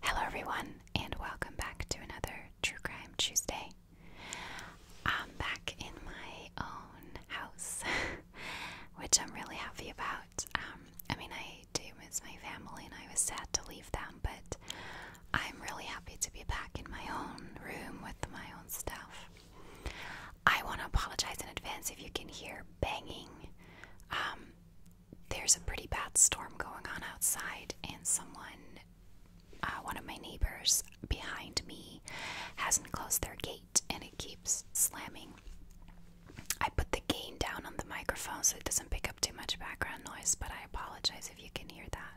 Hello, everyone, and welcome back to another True Crime Tuesday. I'm back in my own house, which I'm really happy about. Um, I mean, I do miss my family, and I was sad to leave them, but I'm really happy to be back in my own room with my own stuff. I want to apologize in advance if you can hear banging. Um, there's a pretty bad storm going on outside, and someone, uh, one of my neighbors behind me, hasn't closed their gate and it keeps slamming. I put the gain down on the microphone so it doesn't pick up too much background noise, but I apologize if you can hear that.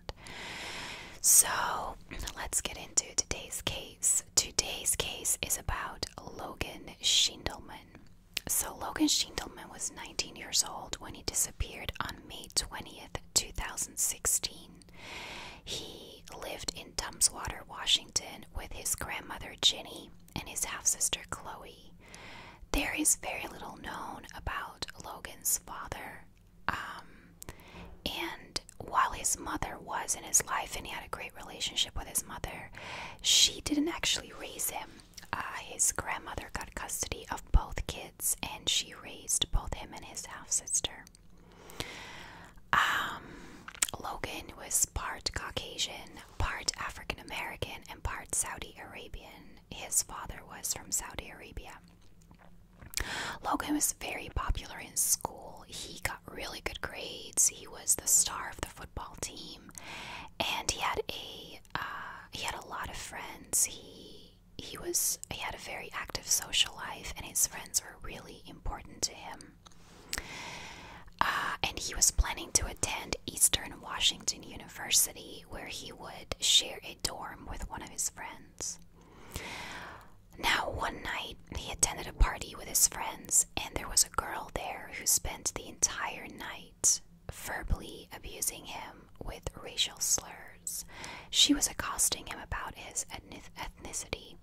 So let's get into today's case. Today's case is about Logan Schindelman. So Logan Schindelman was 19 years old when he disappeared on May 20th, 2016. He lived in Tumwater, Washington with his grandmother Ginny and his half-sister Chloe. There is very little known about Logan's father. Um, and while his mother was in his life and he had a great relationship with his mother, she didn't actually raise him. Uh, his grandmother got custody of both kids and she raised both him and his half sister. Um, Logan was part Caucasian, part African American, and part Saudi Arabian. His father was from Saudi Arabia. Logan was very popular in school. He got really good grades. He was the star of the football team, and he had a uh, he had a lot of friends. He he was he had a very active social life, and his friends were really important to him. Uh, and he was planning to attend Eastern Washington University, where he would share a dorm with one of his friends. Now, one night, he attended a party with his friends, and there was a girl there who spent the entire night verbally abusing him with racial slurs. She was accosting him about his ethnicity,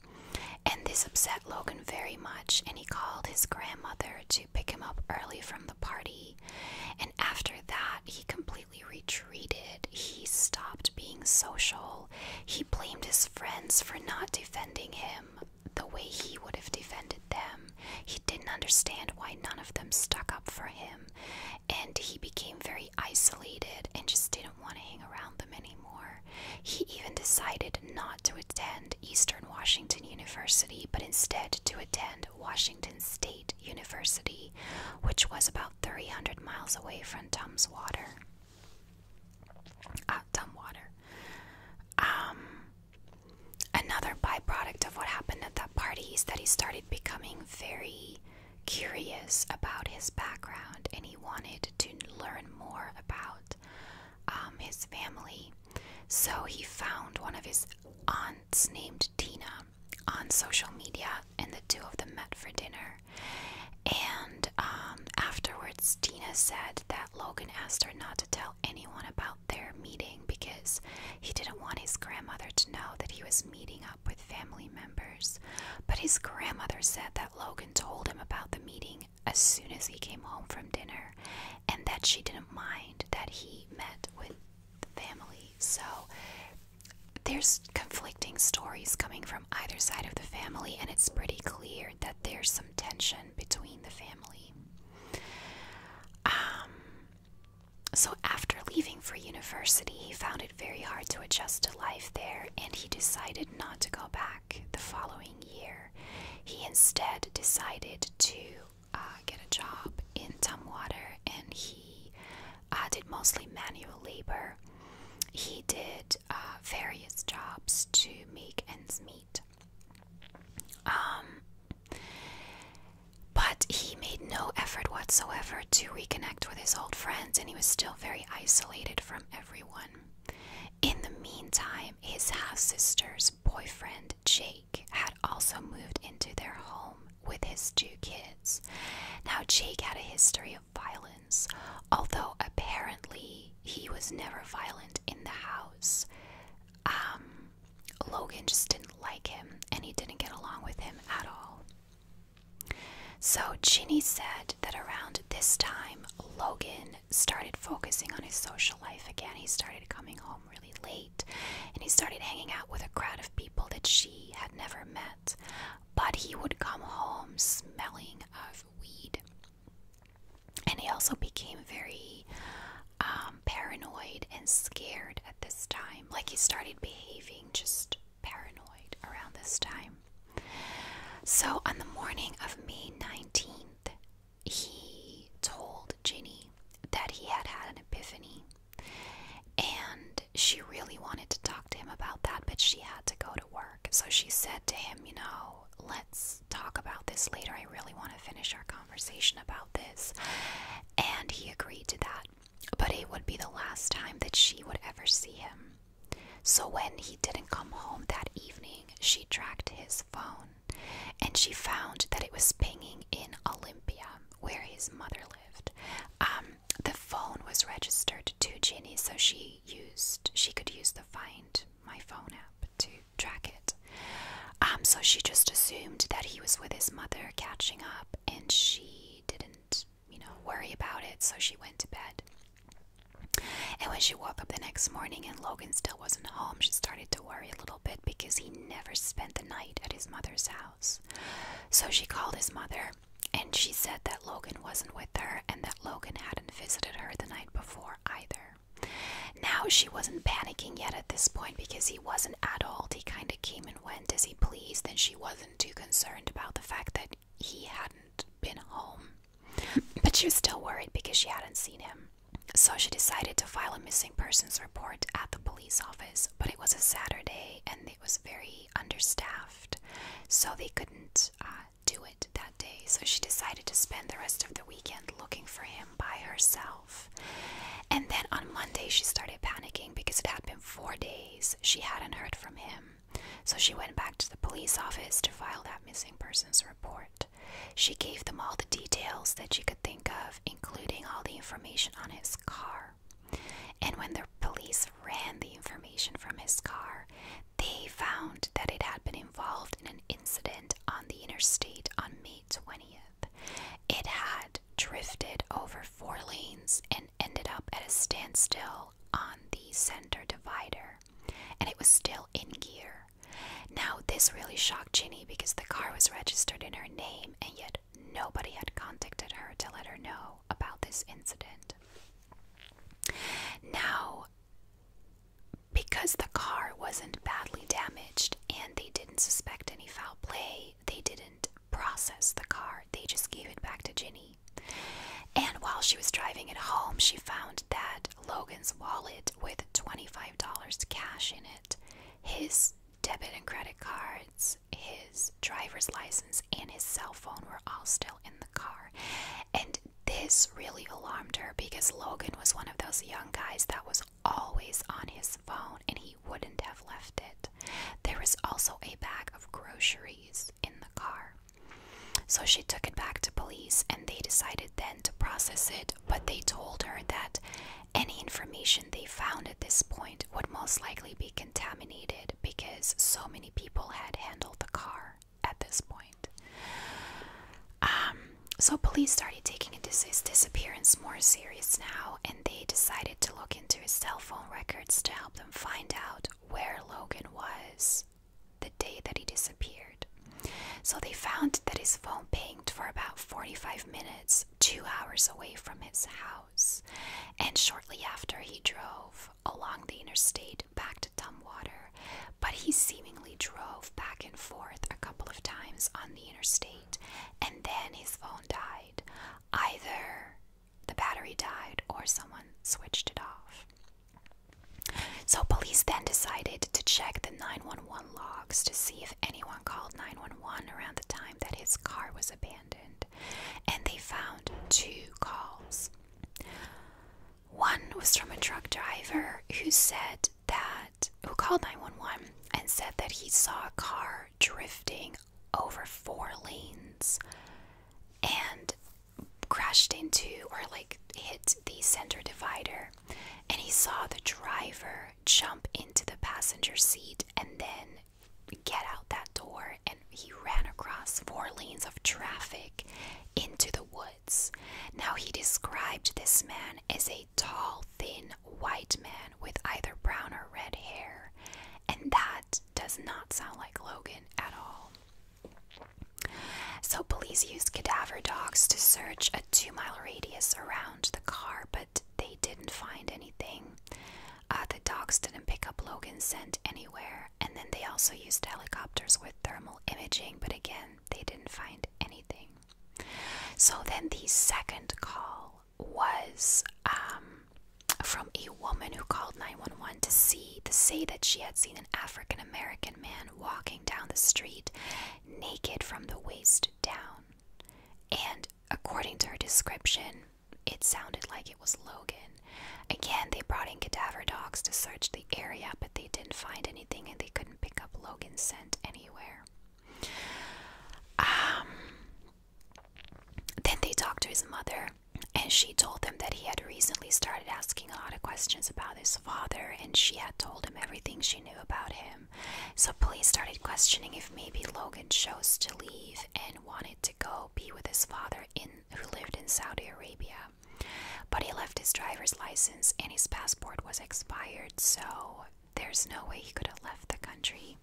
and this upset Logan very much, and he called his grandmother to pick him up early from the party after that, he completely retreated. He stopped being social. He blamed his friends for not defending him the way he would have defended them. He didn't understand why none of them stuck up for him. And he became very isolated and just didn't want to hang around them anymore. He even decided not to attend Eastern Washington University, but instead to attend Washington State University, which was about 300 miles away from Tum's Water. Uh, ah, Tumwater. Um, another byproduct of what happened at that party is that he started becoming very curious about his background and he wanted to learn more about um, his family. So he found one of his aunts named Tina on social media, and the two of them met for dinner. And um, afterwards, Tina said that Logan asked her not to tell anyone about their meeting because he didn't want his grandmother to know that he was meeting up with family members. But his grandmother said that Logan told him about the meeting as soon as he came home from dinner and that she didn't mind that he met with the family. So there's conflicting stories coming from either side of the family, and it's pretty clear that there's some tension between the family. Um, so, after leaving for university, he found it very hard to adjust to life there, and he decided not to go back the following year. He instead decided to uh, get a job in Tumwater, and he uh, did mostly manual labor. He did uh, various jobs to make ends meet. Um, but he made no effort whatsoever to reconnect with his old friends, and he was still very isolated from everyone. In the meantime, his half sister's boyfriend, Jake had also moved into their home with his two kids. Now, Jake had a history of violence, although apparently he was never violent in the house. Um, Logan just didn't like him and he didn't get along with him at all. So, Ginny said that around this time, Logan started focusing on his social life again. He started coming home really late, and he started hanging out with a crowd of people that she had never met. But he would come home smelling of weed. And he also became very um, paranoid and scared at this time. Like he started behaving just paranoid around this time. So on the morning of May 19th, he told Ginny that he had had an epiphany and she really wanted to talk to him about that, but she had to go to work. So she said to him, You know, let's talk about this later. I really want to finish our conversation about this. And he agreed to that. But it would be the last time that she would ever see him. So when he didn't come home that evening, she tracked his phone and she found that it was pinging in Olympia, where his mother lived. Um, the phone was registered to Ginny, so she used she could use the Find My Phone app to track it. Um, so she just assumed that he was with his mother catching up, and she didn't, you know, worry about it. So she went to bed. And when she woke up the next morning and Logan still wasn't home, she started to worry a little bit because he never spent the night at his mother's house. So she called his mother and she said that Logan wasn't with her and that Logan hadn't visited her the night before either. Now she wasn't panicking yet at this point because he was an adult. He kind of came and went as he pleased and she wasn't too concerned about the fact that he hadn't been home. But she was still worried because she hadn't seen him. So she decided to file a missing persons report at the police office, but it was a Saturday and it was very understaffed, so they couldn't uh, do it that day. So she decided to spend the rest of the weekend looking for him by herself. And then on Monday, she started panicking because it had been four days she hadn't heard from him. So she went back to the police office to file that missing persons report. She gave them all the details that she could think of, including all the information on his car. And when the police ran the information from his car, they found that it had been involved in an incident on the interstate on May 20th. It had drifted over four lanes and ended up at a standstill on the center divider, and it was still in gear now, this really shocked Ginny because the car was registered in her name, and yet nobody had contacted her to let her know about this incident. Now, because the car wasn't badly damaged and they didn't suspect any foul play, they didn't process the car, they just gave it back to Ginny. And while she was driving it home, she found that Logan's wallet with $25 cash in it his debit and credit cards, his driver's license, and his cell phone were all still in the car. And this really alarmed her because Logan was one of those young guys that was always on his phone and he wouldn't have left it. There was also a bag of groceries in the car. So she took it back to police and they decided then to process it but they told her that any information they found at this point would most likely be contaminated because so many people had handled the car at this point. Um, so, police started taking his disappearance more serious now, and they decided to look into his cell phone records to help them find out where Logan was the day that he disappeared. So they found that his phone pinged for about 45 minutes, two hours away from his house. And shortly after, he drove along the interstate back to Dumbwater. but he seemingly drove back and forth a couple of times on the interstate, and then his phone died. Either the battery died or someone switched it off. So, police then decided to check the 911 logs to see if anyone called 911 around the time that his car was abandoned, and they found two calls. One was from a truck driver who said that, who called 911 and said that he saw a car drifting over four lanes and crashed into or like hit the center divider and he saw the driver jump into the passenger seat and then get out that door and he ran across four lanes of traffic into the woods. Now he described this man as a tall, thin white man with either brown or red hair, and that does not sound like Logan at all. So, police used cadaver dogs to search a two mile radius around the car, but they didn't find anything. Uh, the dogs didn't pick up Logan's scent anywhere, and then they also used helicopters with thermal imaging, but again, they didn't find anything. So, then the second call was um, from a woman who called 911 to see to say that she had seen an African American man walking down the street naked from the waist down. And according to her description, it sounded like it was Logan. Again, they brought in cadaver dogs to search the area, but they didn't find anything and they couldn't pick up Logan's scent anywhere. Um, then they talked to his mother, and she told them that he had recently started asking a lot of questions about his father, and she had told him everything she knew about him, so police started questioning if maybe Logan chose to leave and wanted to go be with his father in who lived in Saudi Arabia. But he left his driver's license and his passport was expired, so there's no way he could have left the country.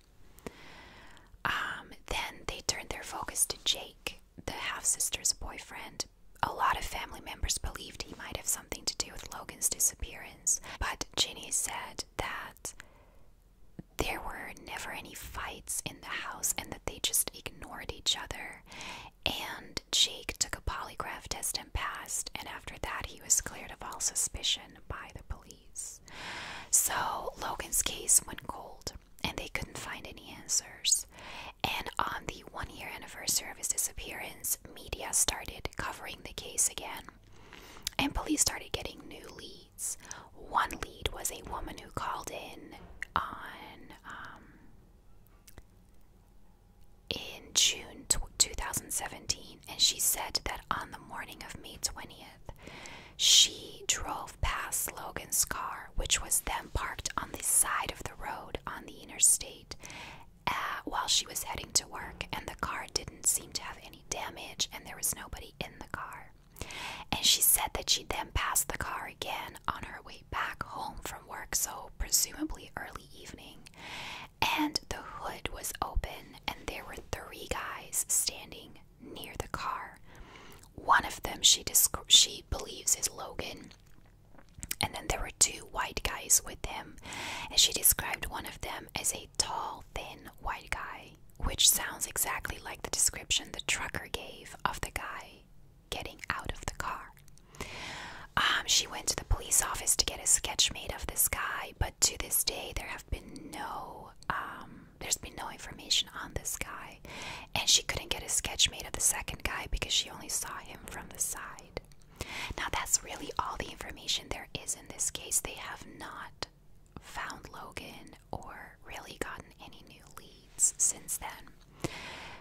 Um, then they turned their focus to Jake, the half sister's boyfriend, a lot of family members believed he might have something to do with Logan's disappearance, but Ginny said that there were never any fights in the house and that they just ignored each other. And Jake took a polygraph test and passed, and after that, he was cleared of all suspicion by the police. So Logan's case went cold, and they couldn't find any answers. And on the one year anniversary of his disappearance, media started covering the case again. And police started getting new leads. One lead was a woman who called in on um, in June 2017, and she said that on the morning of May 20th, she drove past Logan's car, which was then parked on the side of the road on the the interstate uh, while she was heading to work, and the car didn't seem to have any damage, and there was nobody in the car. And she said that she then passed the car again on her way back home from work, so presumably early evening. And the hood was open, and there were three guys standing near the car. One of them she, she believes is Logan, and then there were two white guys with him, and she described one of them as a tall, thin white guy, which sounds exactly like the description the trucker gave of the guy getting out of the car. Um, she went to the police office to get a sketch made of this guy, but to this day there have been no um, there's been no information on this guy and she couldn't get a sketch made of the second guy because she only saw him from the side. Now, that's really all the information there is in this case. They have not found Logan or really gotten any new leads since then.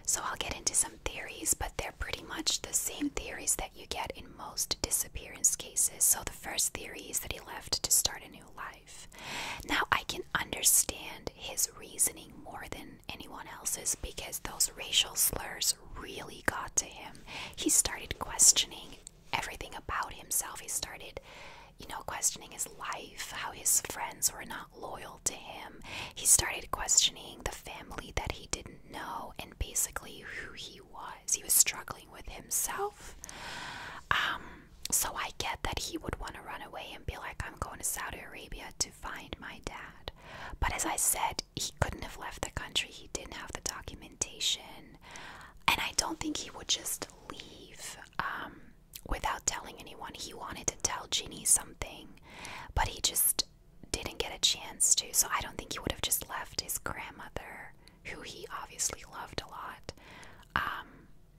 So, I'll get into some theories, but they're pretty much the same theories that you get in most disappearance cases. So, the first theory is that he left to start a new life. Now, I can understand his reasoning more than anyone else's because those racial slurs really got to him. He started questioning everything about himself. He started, you know, questioning his life, how his friends were not loyal to him. He started questioning the family that he didn't know and basically who he was. He was struggling with himself. Um, so I get that he would want to run away be like, I'm going to Saudi Arabia to find my dad. But as I said, he couldn't have left the country. He didn't have the documentation. And I don't think he would just leave um, without telling anyone. He wanted to tell Ginny something, but he just didn't get a chance to. So I don't think he would have just left his grandmother, who he obviously loved a lot. Um,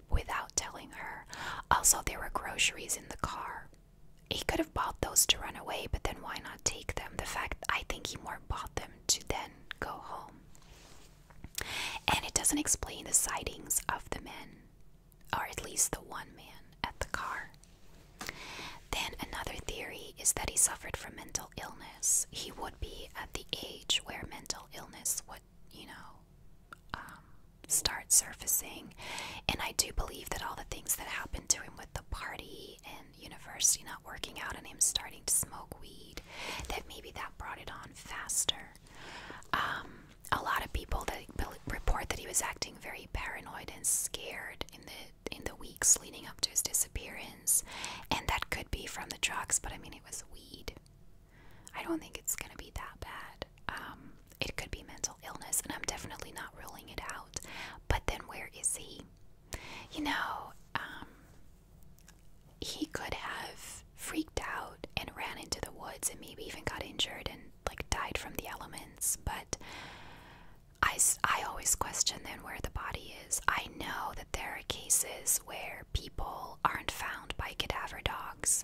without telling her. Also, there were groceries in the car. He could have bought those to run away, but then why not take them? The fact I think he more bought them to then go home. And it doesn't explain the sightings of the men, or at least the one man at the car. Then another theory is that he suffered from mental illness. He would be at the age where mental illness would you know, um, start surfacing. And I do believe that all the things that happened to him with the party and university not working out and him starting to smoke weed, that maybe that brought it on faster. Um, a lot of people that report that he was acting very paranoid and scared in the in the weeks leading up to his disappearance, and that could be from the drugs. But I mean, it was weed. I don't think it's going to be that bad. Um, it could be mental illness, and I'm definitely not ruling it out. But then where is he? You know, um, he could have freaked out and ran into the woods and maybe even got injured and like died from the elements. But I, I always question then where the body is. I know that there are cases where people aren't found by cadaver dogs,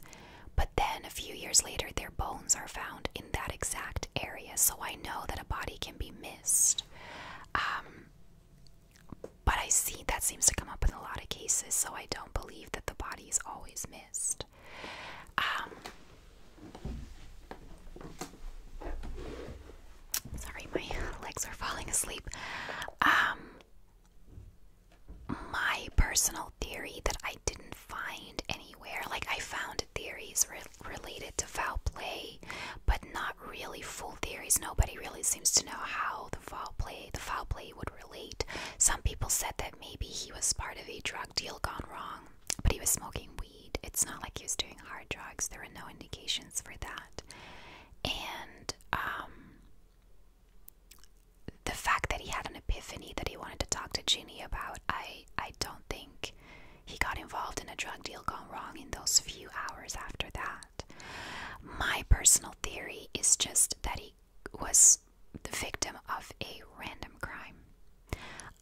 but then a few years later, their bones are found in that exact area, so I know that a body can be missed. Um, but I see that seems to come up in a lot of cases, so I don't believe that the body is always missed. Um, sorry, my legs are falling asleep. Um, my personal theory that I didn't find anywhere. Like, I found theories related to foul play, but not really full theories. Nobody really seems to know how the foul play, the foul play would relate. Some people said that maybe he was part of a drug deal gone wrong, but he was smoking weed. It's not like he was doing hard drugs. There were no indications for that. And um the fact that he had an epiphany that he wanted to talk to Ginny about, I I don't think he got involved in a drug deal gone wrong in those few hours after that. My personal theory is just that he was the victim of a random crime.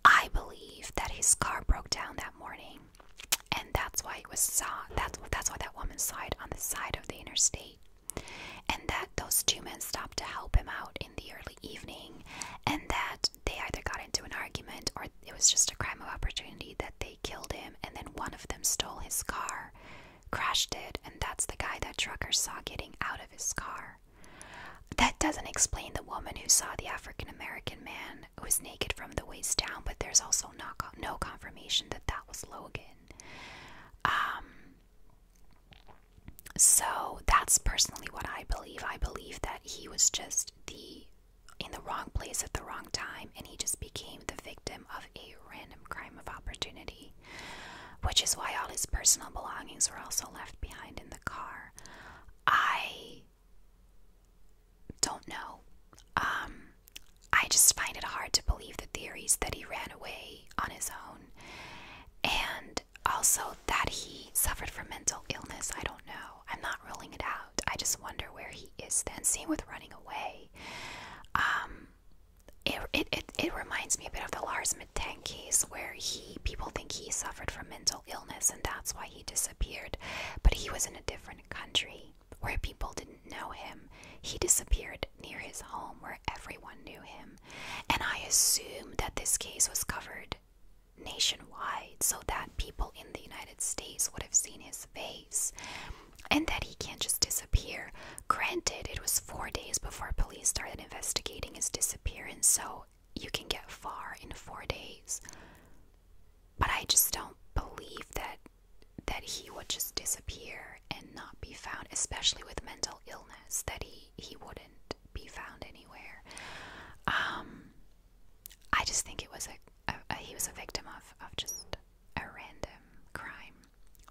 I believe that his car broke down that morning, and that's why it was saw. That's that's why that woman saw it on the side of the interstate and that those two men stopped to help him out in the early evening, and that they either got into an argument or it was just a crime of opportunity that they killed him, and then one of them stole his car, crashed it, and that's the guy that trucker saw getting out of his car. That doesn't explain the woman who saw the African American man who was naked from the waist down, but there's also no, confirmation that that was Logan. Um, so that's personally what I believe. I believe that he was just the in the wrong place at the wrong time and he just became the victim of a random crime of opportunity, which is why all his personal belongings were also left behind in the car. I don't know. Um, I just find it hard to believe the theories that he ran away on his own and also that he suffered from mental illness. I don't know. I'm not ruling it out. I just wonder where he is then. Same with running away. Um, it, it, it, reminds me a bit of the Lars Mittan case where he people think he suffered from mental illness and that's why he disappeared, but he was in a different country where people didn't know him. He disappeared near his home where everyone knew him. And I assume that this case was covered nationwide so that people in the United States would have seen his face and that he can't just disappear. Granted, it was four days before police started investigating his disappearance, so you can get far in four days. But I just don't believe that that he would just disappear and not be found, especially with mental illness, that he, he wouldn't be found anywhere. Um, I just think it was a, he was a victim of, of just a random crime.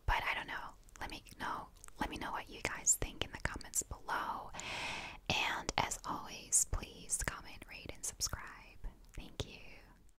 But I don't know. Let me know. Let me know what you guys think in the comments below. And as always, please comment, rate, and subscribe. Thank you.